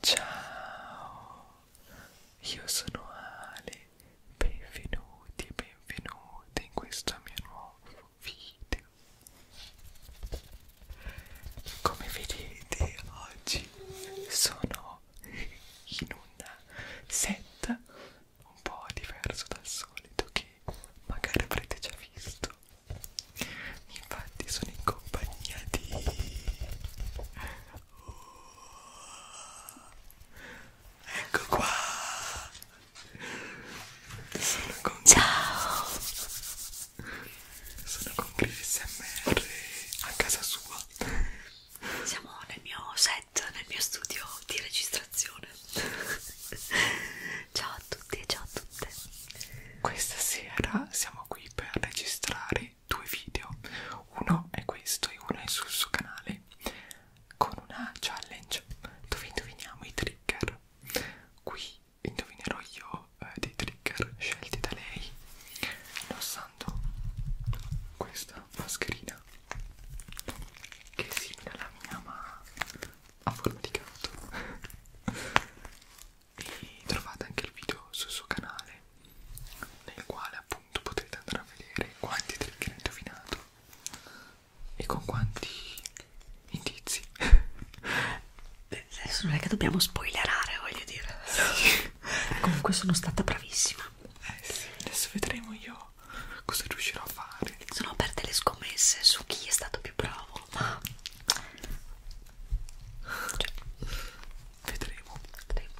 Ciao, io sono Ale, benvenuti e benvenute in questo mio nuovo video. Come vedete oggi sono in una set un po' diverso dal solito che magari avrete già visto Infatti sono in compagnia di oh, Ecco qua Sono con Ciao Sono con Chris MR a casa sua Siamo nel mio set, nel mio studio di registrazione Ciao a tutti e ciao a tutte Questa sera siamo siamo qui per registrare due video uno è questo e uno è sul suo canale con una challenge dove indoviniamo i trigger qui indovinerò io eh, dei trigger scelti da lei indossando questa mascherina che è simile alla mia ma a forma di gatto e trovate anche il video sul suo canale nel quale appunto potrete andare a vedere quanti trick ha indovinato e con quanti indizi adesso non è che dobbiamo spoilerare voglio dire sì. comunque sono stata bravissima eh sì, adesso vedremo io cosa riuscirò a fare sono aperte le scommesse su chi è stato più bravo ma cioè, vedremo, vedremo.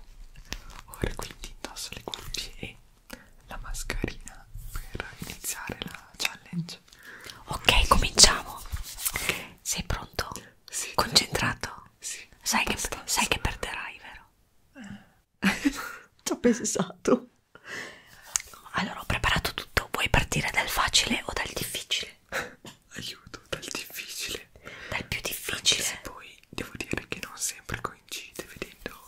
Ora quindi indosso le cuffie e la mascherina per iniziare la challenge. Ok, cominciamo. Okay. Sei pronto? Sì, Concentrato? Sì. Sai che, sai che perderai, vero? Eh. Ci ho pensato. Allora, ho preparato tutto. Vuoi partire dal facile o dal difficile? aiuto dal difficile dal più difficile anche se poi devo dire che non sempre coincide vedendo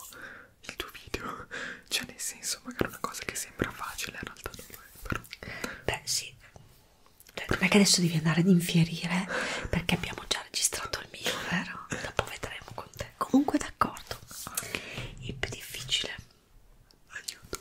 il tuo video cioè nel senso magari una cosa che sembra facile in realtà non lo è però beh sì cioè, non è che adesso devi andare ad infierire perché abbiamo già registrato il mio vero? dopo vedremo con te comunque d'accordo okay. il più difficile aiuto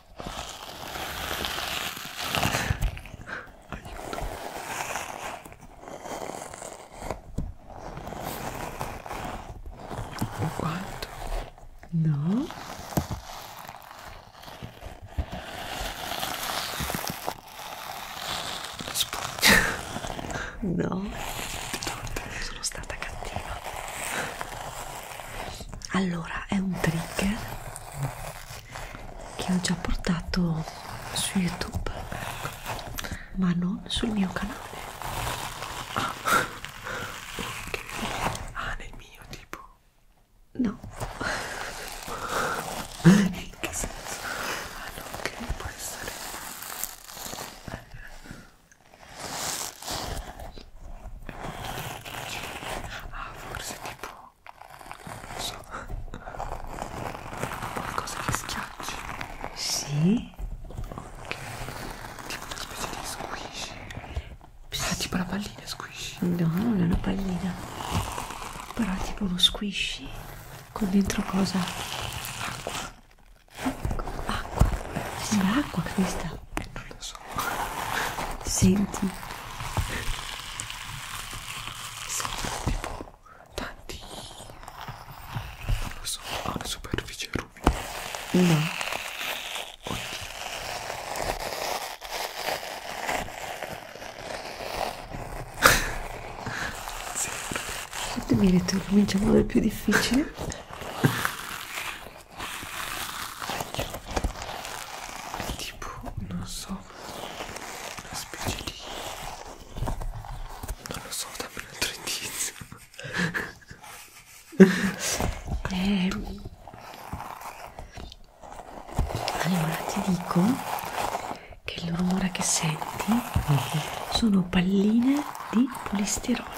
aiuto un quanto no la spugna no sono stata cattiva allora è un trigger che ho già portato su youtube ma non sul mio canale ah ok ah nel mio tipo no in che senso ah no ok può essere ah forse tipo no non lo so qualcosa che schiacci sì ok tipo una specie di squishy ah tipo la pallina squishy no non è una pallina però è tipo uno squishy con dentro cosa acqua acqua sembra acqua questa non lo so senti sono tipo tanti non lo so ha una superficie ruvida no Zero. mi hai detto che cominciamo dal più difficile tipo non so una specie di non lo so dammi un altro indizio eh, allora ti dico che il rumore che senti mhm. sono palline di polistirolo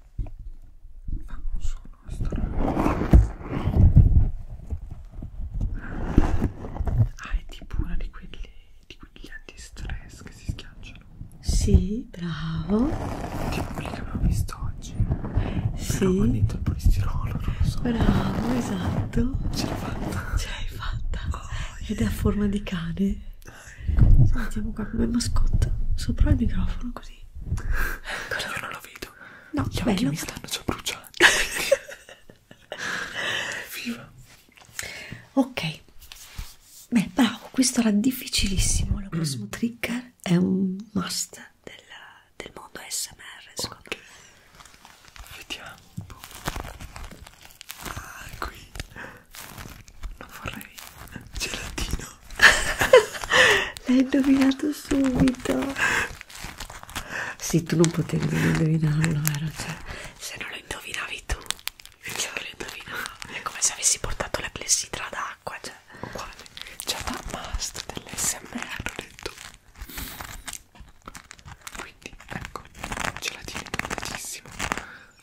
ma non sono strano ah è tipo una di quelli di quegli antistress che si schiacciano sì bravo tipo quelli che abbiamo visto oggi sì però con il polistirolo non lo so bravo esatto ce l'hai fatta ce l'hai fatta oh, ed è a forma di cane Sentiamo qua come mascotte sopra il microfono così. Ecco. Io non lo vedo. No, Gli bello. occhi mi stanno già bruciando. Viva! Ok. Beh, bravo, questo era difficilissimo. Il prossimo mm. trigger è un must del, del mondo ASMR, secondo okay. me. Vediamo un po'. Ah, qui non vorrei gelatino l'hai indovinato subito sì tu non potevi non indovinarlo vero? Cioè, se non lo indovinavi tu io lo indovinavo è come se avessi portato la clessidra d'acqua cioè uguale c'è la must dell'SMR ho detto quindi ecco gelatino importantissimo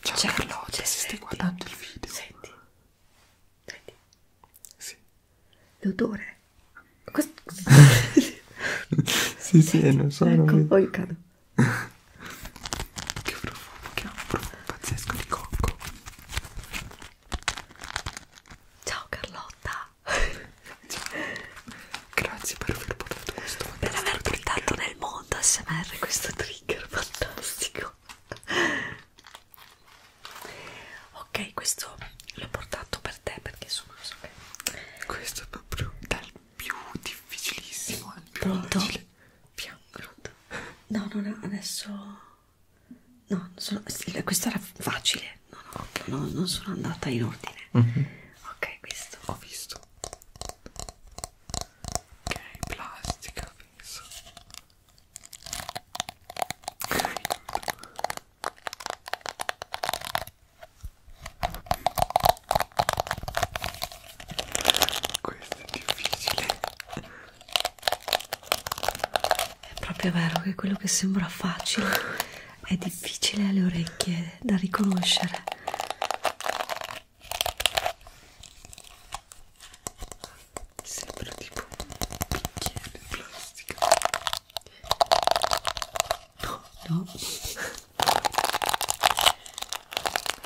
Ciao Charlotte, se stai guardando il video. Senti, senti. Sì. L'odore. Questo... sì, senti, sì, non so. Ecco, non... poi cado. che profumo, che profumo pazzesco di cocco. Ciao Carlotta. Ciao. Grazie per aver portato questo Per aver portato nel mondo ASMR questo trio trigger fantastico ok questo l'ho portato per te perché sono so che questo è proprio dal più difficilissimo al più pronto? facile pronto? no no no adesso no sono... questo era facile no no, okay. no non sono andata in ordine mm -hmm. ok questo ho visto ok plastica penso questo è difficile è proprio vero che quello che sembra facile è difficile alle orecchie da riconoscere Sembra tipo un bicchiere di plastica. No, no.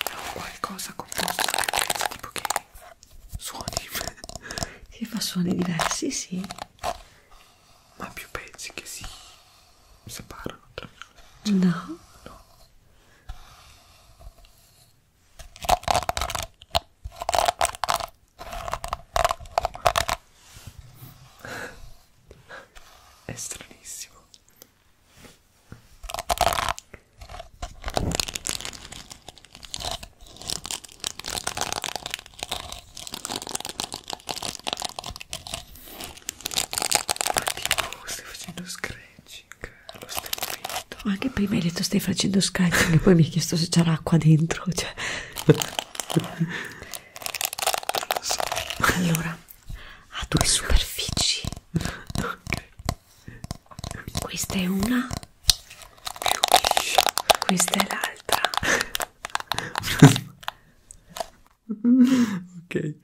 È un qualcosa composto che penso tipo che suoni. Che fa suoni diversi, sì. Ma più pezzi che si separano tra cioè, no. no è stranissimo Oddio, oh, stai facendo scratching allo stesso momento. Ma anche prima hai detto stai facendo scratching e poi mi hai chiesto se c'era acqua dentro. Cioè. so. Allora, ha due superfici. Okay. Questa è una. Questa è l'altra. ok,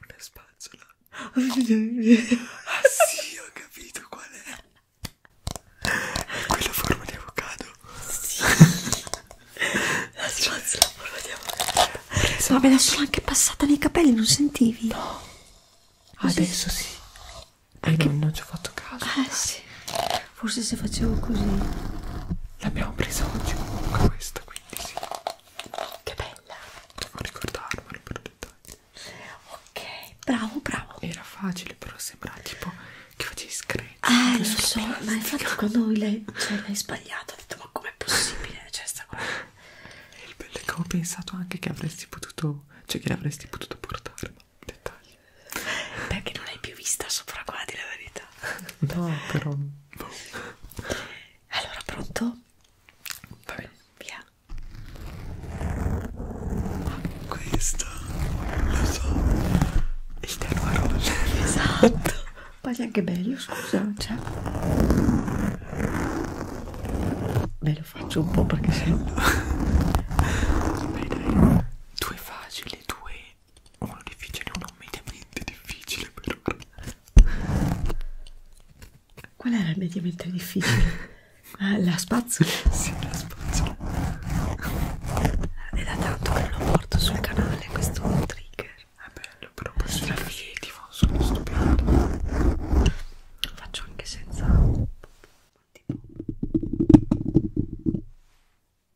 una spazzola. ah sì, ho capito qual è. È quella a forma di avocado. Sì. La cioè, spazzola a forma di esatto. avocado. Esatto. Vabbè, adesso l'ho anche passata nei capelli, non sentivi? No. Ah, adesso sì. Anche... Non, non ci ho fatto caso. Eh ah, dai. sì. Forse se facevo così. L'abbiamo presa oggi comunque questa, quindi sì. Che bella! Devo ricordarmelo per dettagli. Ok, bravo, bravo. Era facile, però sembra tipo che facevi scratch. Eh, lo so, plastica. ma infatti quando l'hai cioè, sbagliato ho detto ma com'è possibile? Cioè, sta qua. E il bello è che ho pensato anche che avresti potuto, cioè che l'avresti potuto portare, dettagli. Perché non l'hai più vista sopra qua, di la verità. No, però... Boh. Allora, pronto? Va bene. Via. Questa lo so. Il terno roller. Esatto. Pagli anche bello, scusa, cioè. Beh, lo faccio un po' perché sennò. Dai, dai. Due facili, due uno difficile uno mediamente difficile per ora qual era il mediamente difficile? Ah, la spazzola? sì, la spazzola è da tanto che non lo porto sul canale questo trigger è bello, però questo è figo, sono stupendo lo faccio anche senza tipo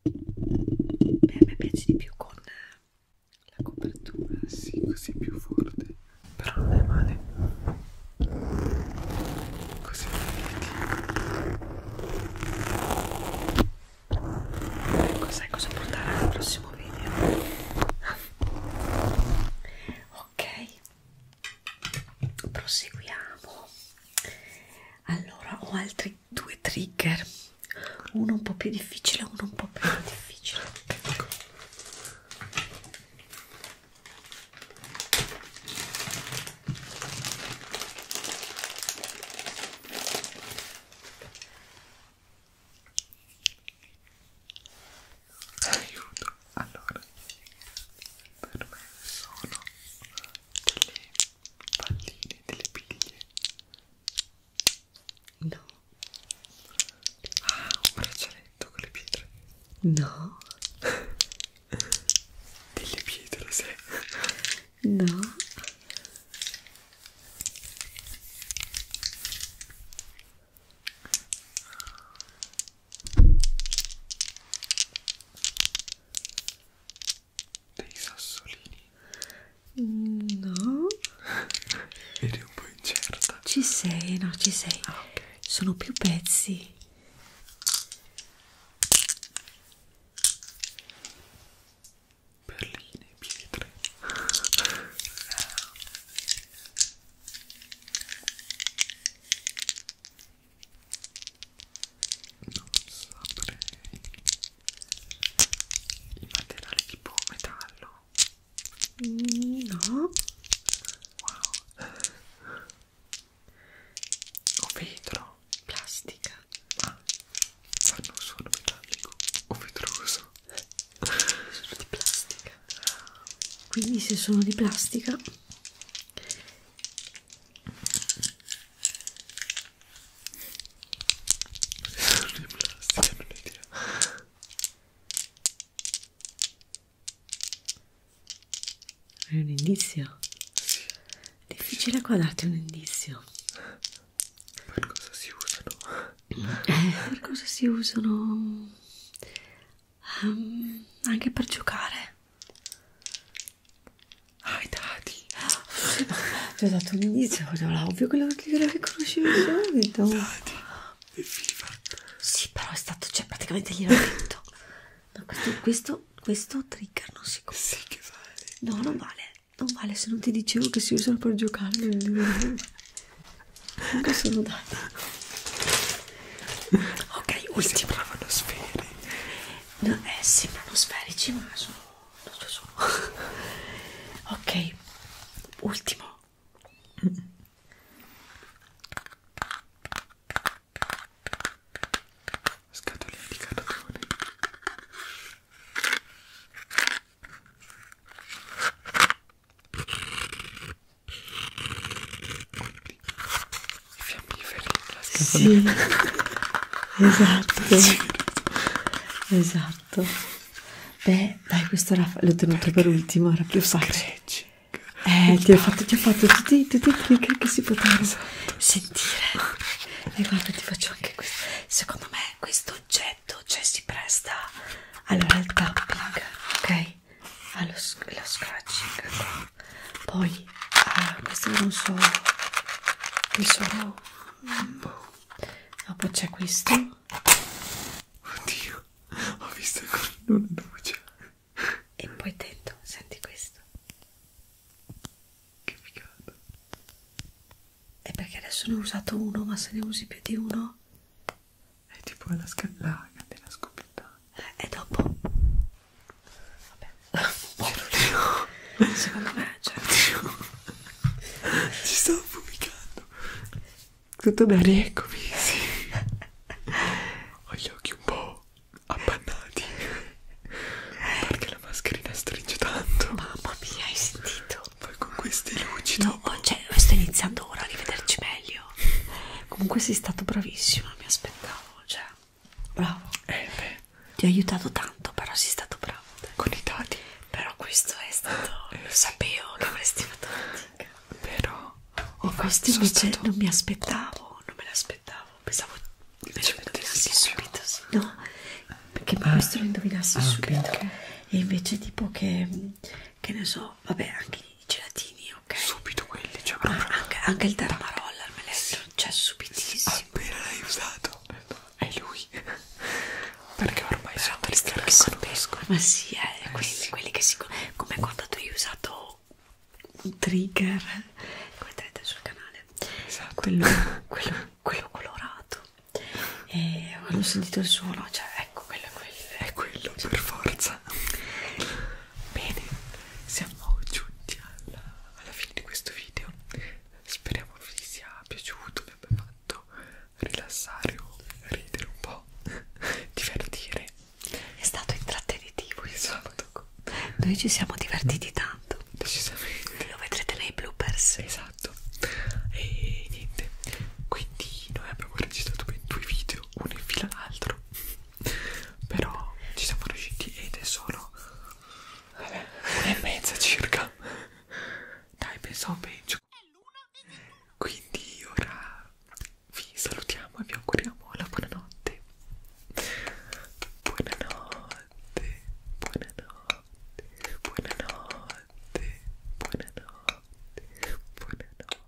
Beh, a me piace di più con la copertura, sì, così è più forte, però non è male. Così vedi. Ecco, sai cosa portare al prossimo video. Ah. ok, proseguiamo. Allora, ho altri due trigger uno un po' più difficile uno un po' più difficile ecco. aiuto allora per me sono delle palline delle piglie No. Ah, un braccialetto con le pietre. No. Delle pietre, sì. No dei sassolini? No. Eri un po' incerta. Ci sei, no, ci sei. Ah, okay. Sono più pezzi. Perline, pietre. non saprei il materiale tipo metallo mm, no wow o vetro plastica ma ah, fanno un suono metallico o vetroso sono di plastica quindi se sono di plastica non è plastica, non è idea. È un indizio? Sì. È difficile qua darti un indizio. Per cosa si usano? Eh, per cosa si usano? Um, anche per giocare. Ah, i dati! Ti ho dato un indizio, era ovvio quello che riconoscevi subito. Dati e FIFA. Sì, però è stato, cioè praticamente gliel'ho detto. No, questo, questo, questo trigger non si compra. Sì che vale. No, non vale. Non vale se non ti dicevo che si usano per giocare. Comunque sono dati. Ok, ultimo. Sembravano sfere no, eh, sembrano sferici ma sono, non lo so ok ultimo scatoline di cartone i fiammiferi la sì esatto esatto beh dai questo l'ho tenuto Perché? per ultimo era più facile eh ti ho fatto, ti ho fatto tutti, tutti i click che si potevano esatto. sentire e guarda ti faccio anche questo secondo me questo oggetto cioè si presta allora il tapping ok allo lo scratching poi ah, queste non so qui sono boh, dopo c'è questo oddio ho visto ancora una luce e poi dentro senti questo che figata è perché adesso ne ho usato uno ma se ne usi più di uno è tipo la scallaga della scoppiettata è dopo vabbè Oddio. secondo me cioè... ci stavo pubblicando tutto bene eccomi sì. ho gli occhi un po' appannati perché la mascherina stringe tanto mamma mia hai sentito poi con queste luci no, dopo oh, cioè, sto iniziando ora a rivederci meglio comunque sei stato bravissimo mi aspettavo cioè bravo eh beh. ti ho aiutato tanto però sei stato bravo dai. con i dati però questo è stato lo sapevo che avresti fatto fatica però ho questo invece stato... non mi aspettavo non me l'aspettavo pensavo invece lo indovinassi subito sì. no perché ah. questo lo indovinassi ah, subito okay, okay. e invece tipo che che ne so vabbè anche i gelatini, ok? Subito quelli, cioè proprio. Ah, anche, anche il Darmarolla, il meleggio, sì. cioè subitissimo. Appena l'hai usato, è lui. Perché ormai Però sono questi che conoscono. Ma sì, eh, eh quelli, sì. quelli che si come quando tu hai usato un trigger, come vedrete sul canale. Esatto. Quello, quello, quello colorato. E ho sentito il suono, cioè ecco quello è quello. È quello per forza. Bene, siamo giunti alla, alla fine di questo video. Speriamo vi sia piaciuto, vi abbia fatto rilassare o ridere un po', divertire. È stato intrattenitivo, esatto. Noi ci siamo divertiti tanto. Decisamente. Lo vedrete nei bloopers. Esatto. E niente. Quindi noi abbiamo registrato ben due video, uno in fila all'altro però ci siamo riusciti ed è solo vabbè, e mezza circa dai pensavo peggio quindi ora vi salutiamo e vi auguriamo la buonanotte buonanotte buonanotte buonanotte buonanotte buonanotte